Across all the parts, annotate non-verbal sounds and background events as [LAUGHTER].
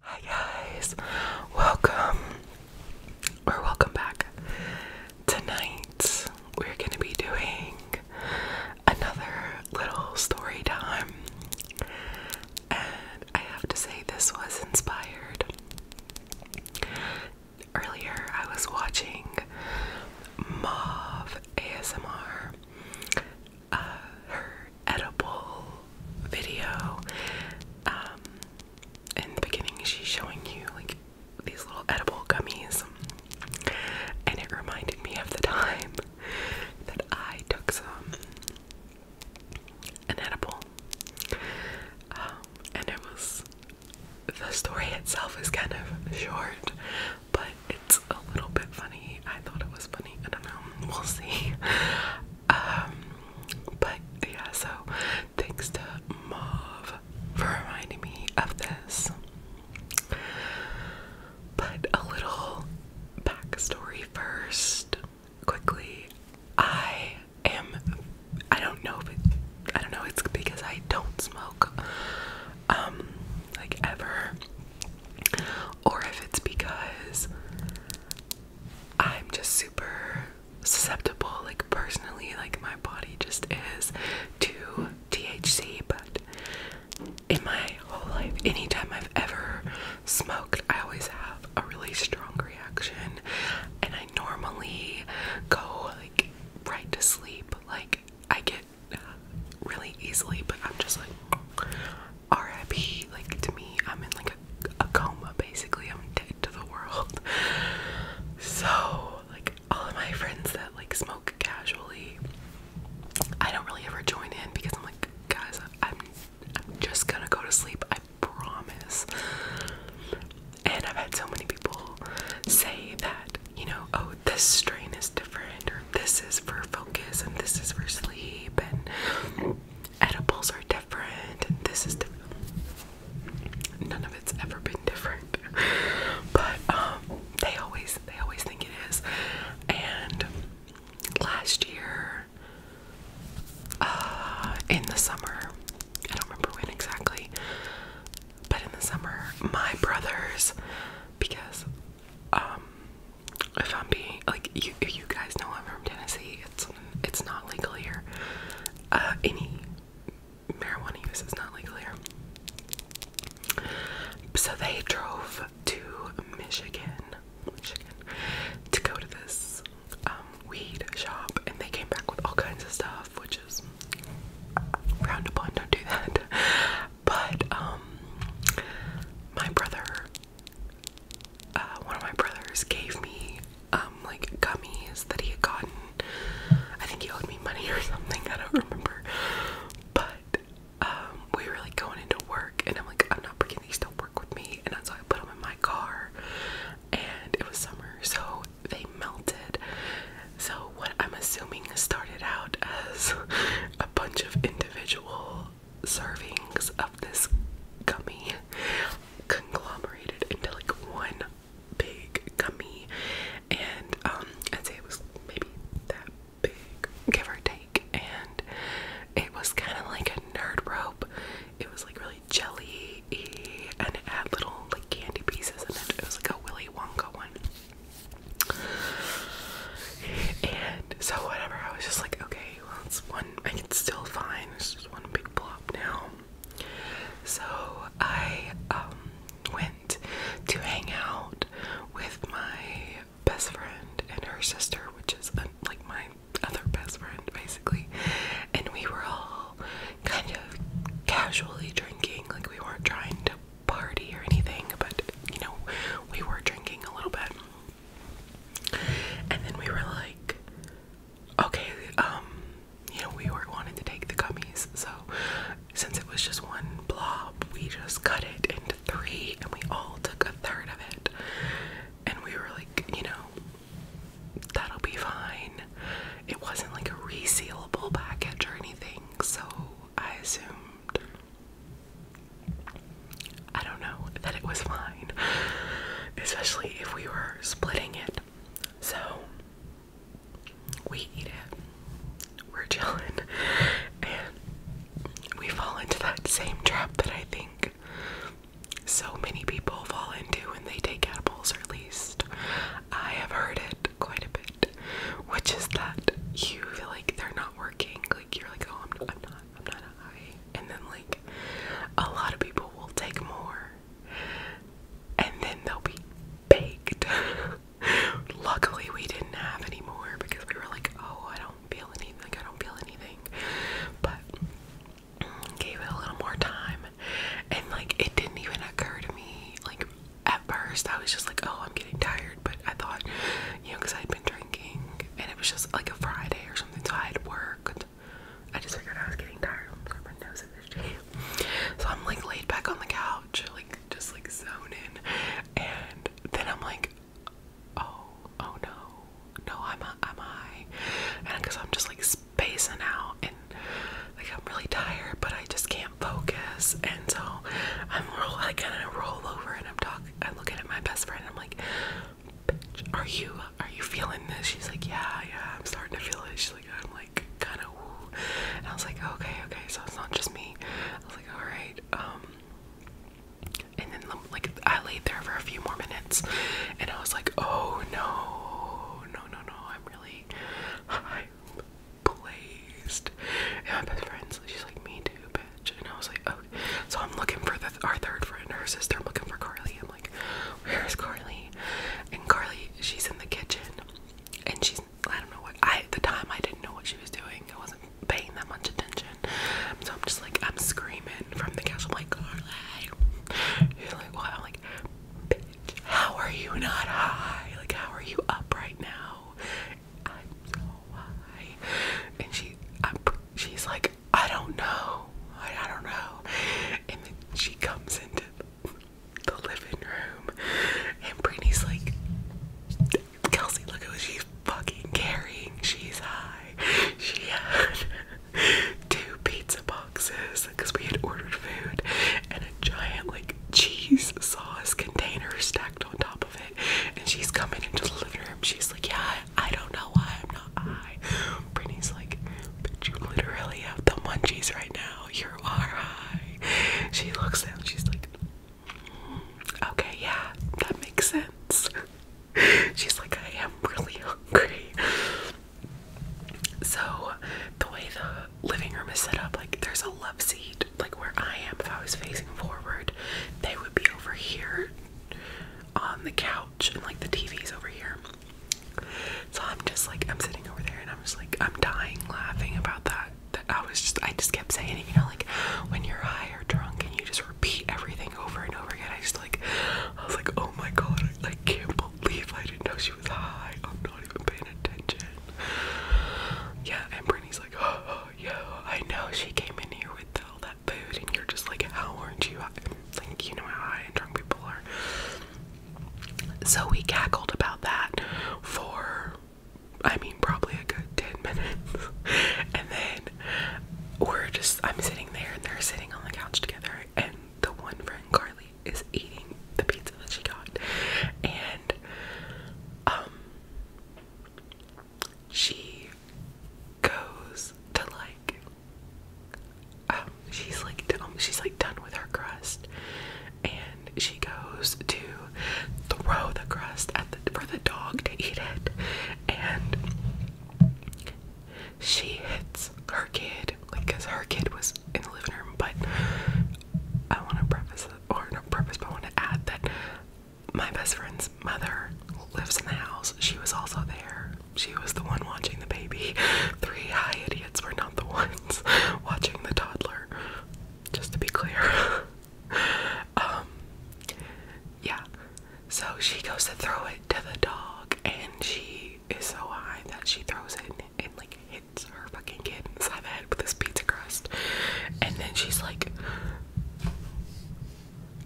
Hi guys, welcome or welcome back. Tonight we're gonna be doing another little story time, and I have to say, this was inspired. Earlier, I was watching Mauve ASMR, uh, her edible video. Um, in the beginning, she's showing you like these little edible gummies, and it reminded me of the time that I took some an edible, um, and it was the story itself is kind of short, but it's a little bit funny. I thought it was I don't know. [LAUGHS] We'll see. Um, but yeah, so thanks to Mauve for reminding me of this. But a little backstory first, quickly. I am. I don't know I don't know. It's because I don't smoke, um, like ever, or if it's because I'm just super susceptible, like personally, like my body just is to THC, but in my whole life, anytime I've ever smoked, I always have a really strong reaction, and I normally go like right to sleep. Like, I get uh, really easily, but I'm just like, RIP. Like to me, I'm in like a, coma basically. I'm dead to the world. [LAUGHS] So like all of my friends that like smoke casually, I don't really ever join in because I'm like, guys, I'm just gonna go to sleep. I promise. And I've had so many people say that, you know, oh, this strain is different, or this is for focus, and this is for sleep, and edibles are different and this is different. None of it's ever been different. [LAUGHS] But um, they always they always think it is. And last year uh, in the summer, I don't remember when exactly, but in the summer my brothers because um if I'm being like you, if you guys know I'm from Tennessee, it's it's not legal here. Uh, any marijuana use is not legal here. So they drove to Michigan, Michigan, to go to this um, weed shop, and they came back with all kinds of stuff, which is round upon. Don't do that. [LAUGHS] But um, my brother uh, one of my brothers gave me um, like gummies that he had gotten. I think he owed me money [LAUGHS] or something. I don't remember. But um, we were like going into work, and I'm like, I'm not bringing these to work with me, and that's why I put them in my car. And it was summer, so they melted. So what I'm assuming started out as [LAUGHS] a bunch of individual servings of this gummy conglomerated into like one big gummy and um I'd say it was maybe that big give or take and it was kind of like a nerd rope it was like really jelly and it had little like candy pieces in it it was like a Willy Wonka one so whatever, I was just like, okay, well it's one I can still find. It's just one big blob now. So I um, went to hang out with my best friend and her sister, which is like my other best friend basically. And we were all kind of casually drinking, like we weren't trying to party or anything, but you know, we were drinking a little bit. And then we were like, okay, um, you know, we were wanting to take the gummies, so since it was just one blob, we just cut it into three and we all took a third of it. And we were like, you know, that'll be fine. It wasn't like a resealable package or anything, so I assumed I don't know that it was fine, especially if we were splitting it. So we eat it, we're chilling, and we fall into that same trap that I think so many people fall into when they take edibles, or at least I have heard it quite a bit, which is that you feel like they're not working, like you're like, oh, I'm, I'm not, I'm not high, and then like a lot of people will take more, and then they'll be baked. [LAUGHS] Luckily, we didn't have any more because we were like, oh, I don't feel anything, like I don't feel anything, but gave it a little more time, and like it didn't even occur to me, like. At first, I was just like, "Oh, I'm getting tired but I thought, you know, because I had been drinking and it was just like a Friday or something, so I had worked. I just figured I was getting tired. So I'm like laid back on the couch, like just like zoning, and then I'm like, oh, oh no, no, I'm I'm high, and because I'm just like spacing out and like I'm really tired, but I just can't focus, and so I'm roll, I kind of roll over and I'm talking I look at my best friend. I'm like, bitch, are you are you feeling this? She's like, yeah, yeah, I'm starting to feel it. She's like, I'm like kind of woo. And I was like, okay, okay, so it's not just me. I was like, all right. Um, and then um, like I laid there for a few more minutes, and I was like, oh no, no, no, no, I'm really high blazed. And my best friend's she's like, me too, bitch. And I was like, okay. Oh. So I'm looking for the, our third friend, her sister. I'm looking for Carly. I'm like, where's Carly? And Carly, she's in the kitchen, and she's I don't know what I at the time I didn't know what she was doing. I wasn't paying that much attention. So I'm just like I'm screaming from the couch. I'm like Carly. You're like what? I'm like, bitch, how are you not high? Like how are you up right now? I'm so high. And she, she's like, I don't know. I don't know. And then she comes into the living room, and Brittany's like, Kelsey, look at what she's fucking carrying. She's high. She had [LAUGHS] two pizza boxes because we had ordered food and a giant, like, cheese sauce container stacked on top of it. And she's coming into the living room. She's like, Yeah, I don't know why I'm not high. Brittany's like, But you literally have the munchies right now. You are high. She looks down. She's like, mm, Okay, yeah, that makes sense. She's like, I am really hungry. So, the way the living room is set up, like, there's a love seat, like where I am, if I was facing forward, they would be over here on the couch, and like the TV's over here. So I'm just like, I'm sitting over there, and I'm just like, I'm dying laughing about that. That I was just, I just kept saying it, you know, like when you're high or drunk and you just repeat everything over and over again. I just like, I was like, oh my god, I can't believe I didn't know she was high. I'm not even paying attention. Yeah, and Brittany's like, oh, oh yo, I know she came in here with all that food, and you're just like, how aren't you? Like, you know how high and drunk people are. So we cackled about that for, I mean, probably a good 10 minutes. [LAUGHS] and then we're just, I'm sitting there, and they're sitting on the couch together, and the one friend, Carly, is eating the pizza that she got. And, um, she goes to like um, she's like done, um, she's like done with her crust and she goes to throw the crust at the for the dog to eat it and she hits her kid like because her kid was in the living room but I want to preface, or not preface, but I want to add that my best friend's mother lives in the house. She was also there. She was the one watching the baby. [LAUGHS] Three high idiots were not the [LAUGHS] ones watching the toddler, just to be clear. [LAUGHS] um, yeah. So she goes to throw it to the dog, and she is so high that she throws it and, like, hits her fucking kid inside the head with this pizza crust. And then she's like,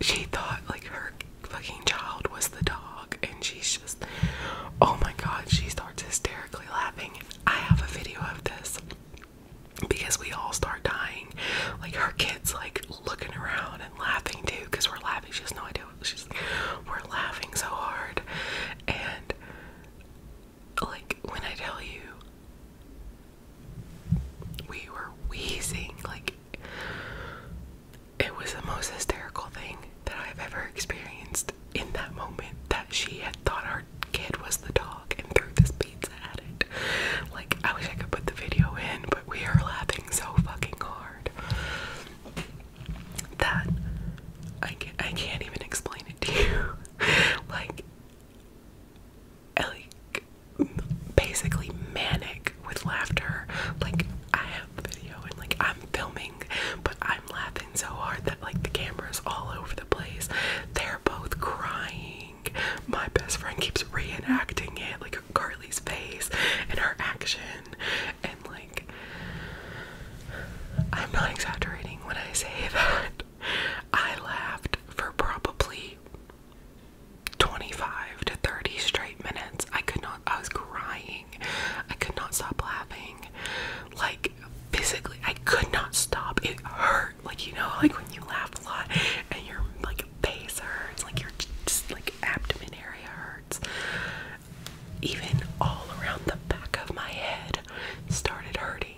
she thought like her fucking child was the dog, and she's just, oh my god, she starts hysterically laughing. I have a video of this because we all start dying. Like her kids, like looking around and laughing too, because we're laughing. She has no idea. She's, we're laughing so hard, and like when I tell you we were wheezing, like it was the most hysterical thing that I've ever experienced in that moment that she had thought our kid was the dog and threw this pizza at it. Like I wish I could put the video in, but we are laughing so fucking hard that I can't, I can't even explain it to you. [LAUGHS] like like basically manic with laughter. Like I have the video and like I'm filming, but I'm laughing so hard that like the camera's all over the place. They're both crying. My best friend keeps reenacting it, like Carly's face and her action and like I'm not exaggerating when I say [LAUGHS] that I laughed for probably 25 to 30 straight minutes. I could not, I was crying. I could not stop laughing. Like, physically, I could not stop. It hurt. Like, you know, like when you laugh a lot and your like face hurts, like your just, like abdomen area hurts. Even all around the back of my head started hurting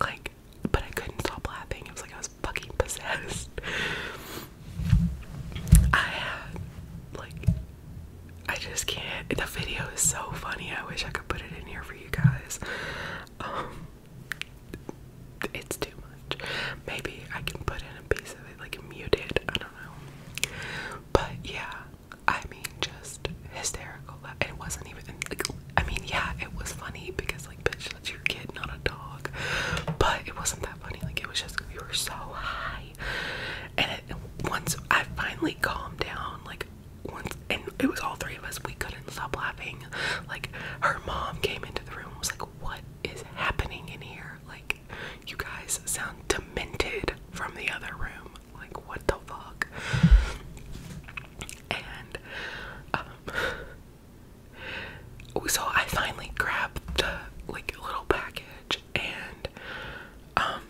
like, but I couldn't stop laughing. It was like I was fucking possessed. I had, like, I just can't. The video is so funny. I wish I could put it in here for you guys. Um, it's too much. Maybe I can put in a piece of it, like, muted. I don't know. But yeah, I mean, just hysterical. It wasn't even like I mean, yeah, it was funny because like, bitch, that's your kid, not a dog. But it wasn't that funny. Like, it was just we were so high, and it, once I finally calmed down, like once, and it was all three of us. We couldn't stop laughing. Like, her mom came into the room was like, "What is happening in here? Like, you guys sound demented from the other room." Like, what the fuck? And, um, so I finally grabbed the, like, little package, and, um,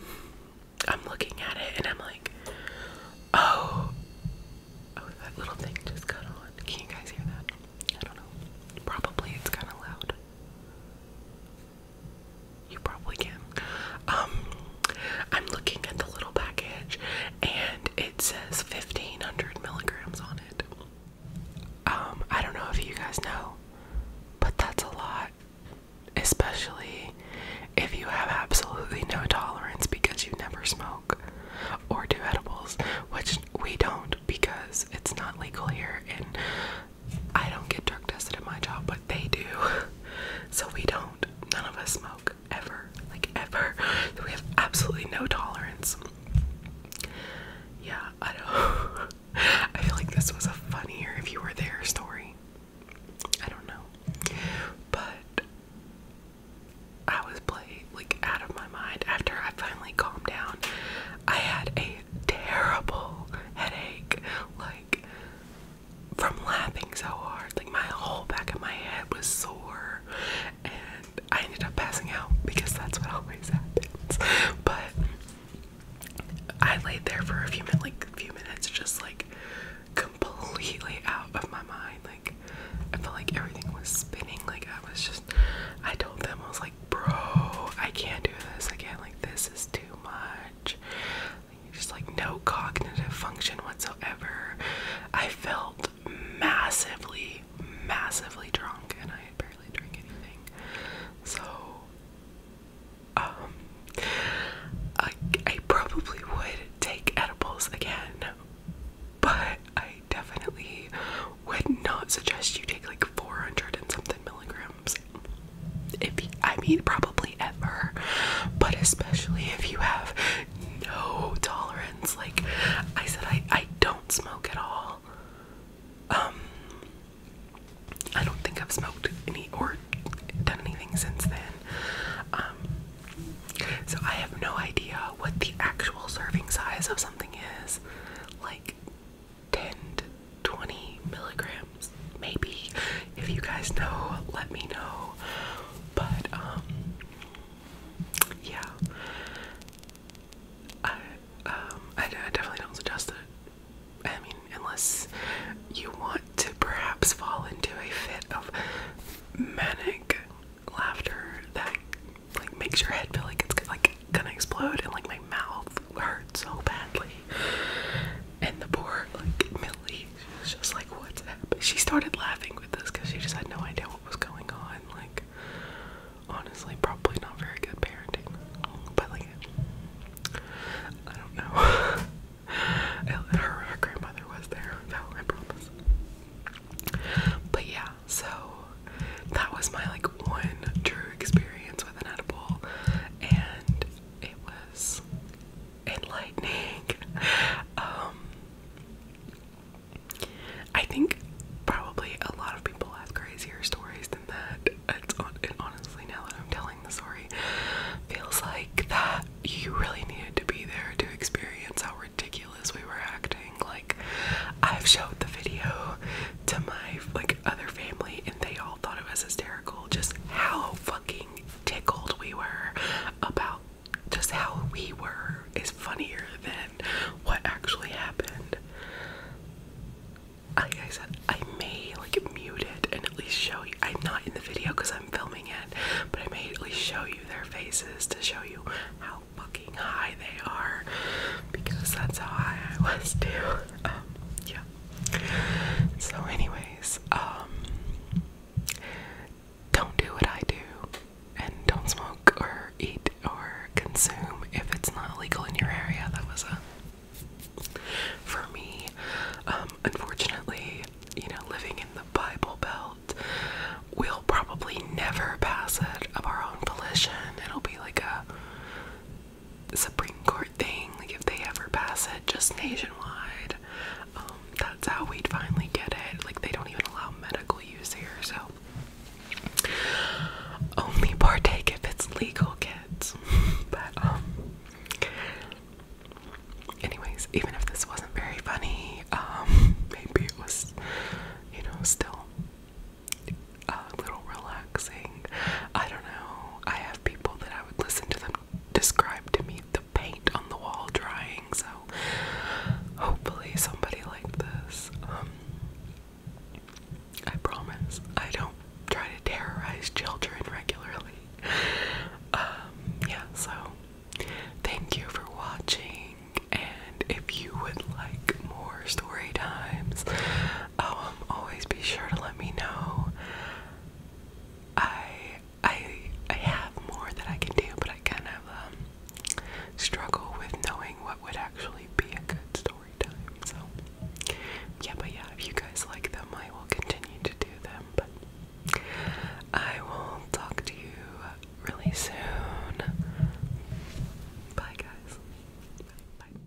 I'm looking at it, and I'm like, oh, oh, that little thing just got on. Can you guys hear that? I don't know. Probably it's kind of loud. You probably can. Um, I'm looking at the little package and it says 1500 milligrams on it. Um, I don't know if you guys know, but that's a lot, especially if you have absolutely no tolerance because you never smoke or do edibles, which we don't because it's not legal here and I don't get drug tested at my job, but they do. [LAUGHS] So we don't none of us smoke ever, like ever. we have absolutely no tolerance. Yeah, I don't. [LAUGHS] I feel like this was a funnier if you were there story. I don't know, but I was played like out of my mind after I finally calmed down. I had a terrible headache, like from laughing so hard. Like my whole back of my head was sore, and I ended up passing out because that's what always happens. But I laid there for a few minutes, like a few minutes, just like completely out of my mind. Like I felt like everything was spinning. Like I was just, I told them I was like, bro, I can't do this I can't. Like this is too much just like no cognitive function whatsoever. I felt massively, massively drunk, and I had barely drank anything. So, um, I, I probably would take edibles again, but I definitely would not suggest you take like 400 and something milligram if I mean, probably ever, but especially if you have no tolerance. Like I said, I I don't smoke at all. Um, I don't think I've smoked any or done anything since then. Um, so I have no idea what the actual serving size of something is. Like ten 20 milligrams, maybe. If you guys know, let me know. But, um, yeah. I, um, I, definitely don't suggest it. I mean, unless you want to perhaps fall into a fit of manic laughter that like makes your head feel like it's like gonna explode and like my mouth hurts so badly. And the poor, like, Millie, she was just like, what's happening? She started laughing with this because she just had no idea what was going on. Like, honestly, probably not very good parenting. But, like, I don't know. [LAUGHS] her, grandmother was there, though, I promise. But yeah, so that was my like one true experience with an edible, and it enlightening. [LAUGHS] Um, I think probably a lot of people have crazier stories than that. It's on, it honestly, now that I'm telling the story, feels like that you really needed to be there to experience how ridiculous we were acting. Like, I've showed the video to my like other family and they all thought it was hysterical just how fucking tickled we were about just how we were is funnier than what actually happened. I said, I may like mute it and at least show you. I'm not in the video because I'm filming it, but I may at least show you their faces to show you how fucking high they are because that's how high I was too. Um, yeah. So, anyways, um, don't do what I do and don't smoke or eat or consume if it's not legal in your area. That was a for me. Um, unfortunately, you know, living in the Bible Belt, we'll probably never pass it of our own volition. It'll be like a Supreme Court thing, like if they ever pass it, just nationwide, um, that's how we'd finally get it. Like they don't even allow medical use here, so only partake if it's legal, kids. [LAUGHS] but um, anyways, even if this wasn't very funny, um, [LAUGHS] maybe it was, you know, still a little relaxing. I don't know. I have people that I would listen to them describe to me the paint on the wall drying, so hopefully somebody like this. Um, I promise I don't try to terrorize children regularly. Um, yeah, so thank you for watching and if you would like more story times, Oh, um, always be sure to let me know. I I I have more that I can do, but I kind of um, struggle with knowing what would actually be a good story time. So yeah, but yeah, if you guys like them, I will continue to do them. But I will talk to you really soon. Bye guys. Bye.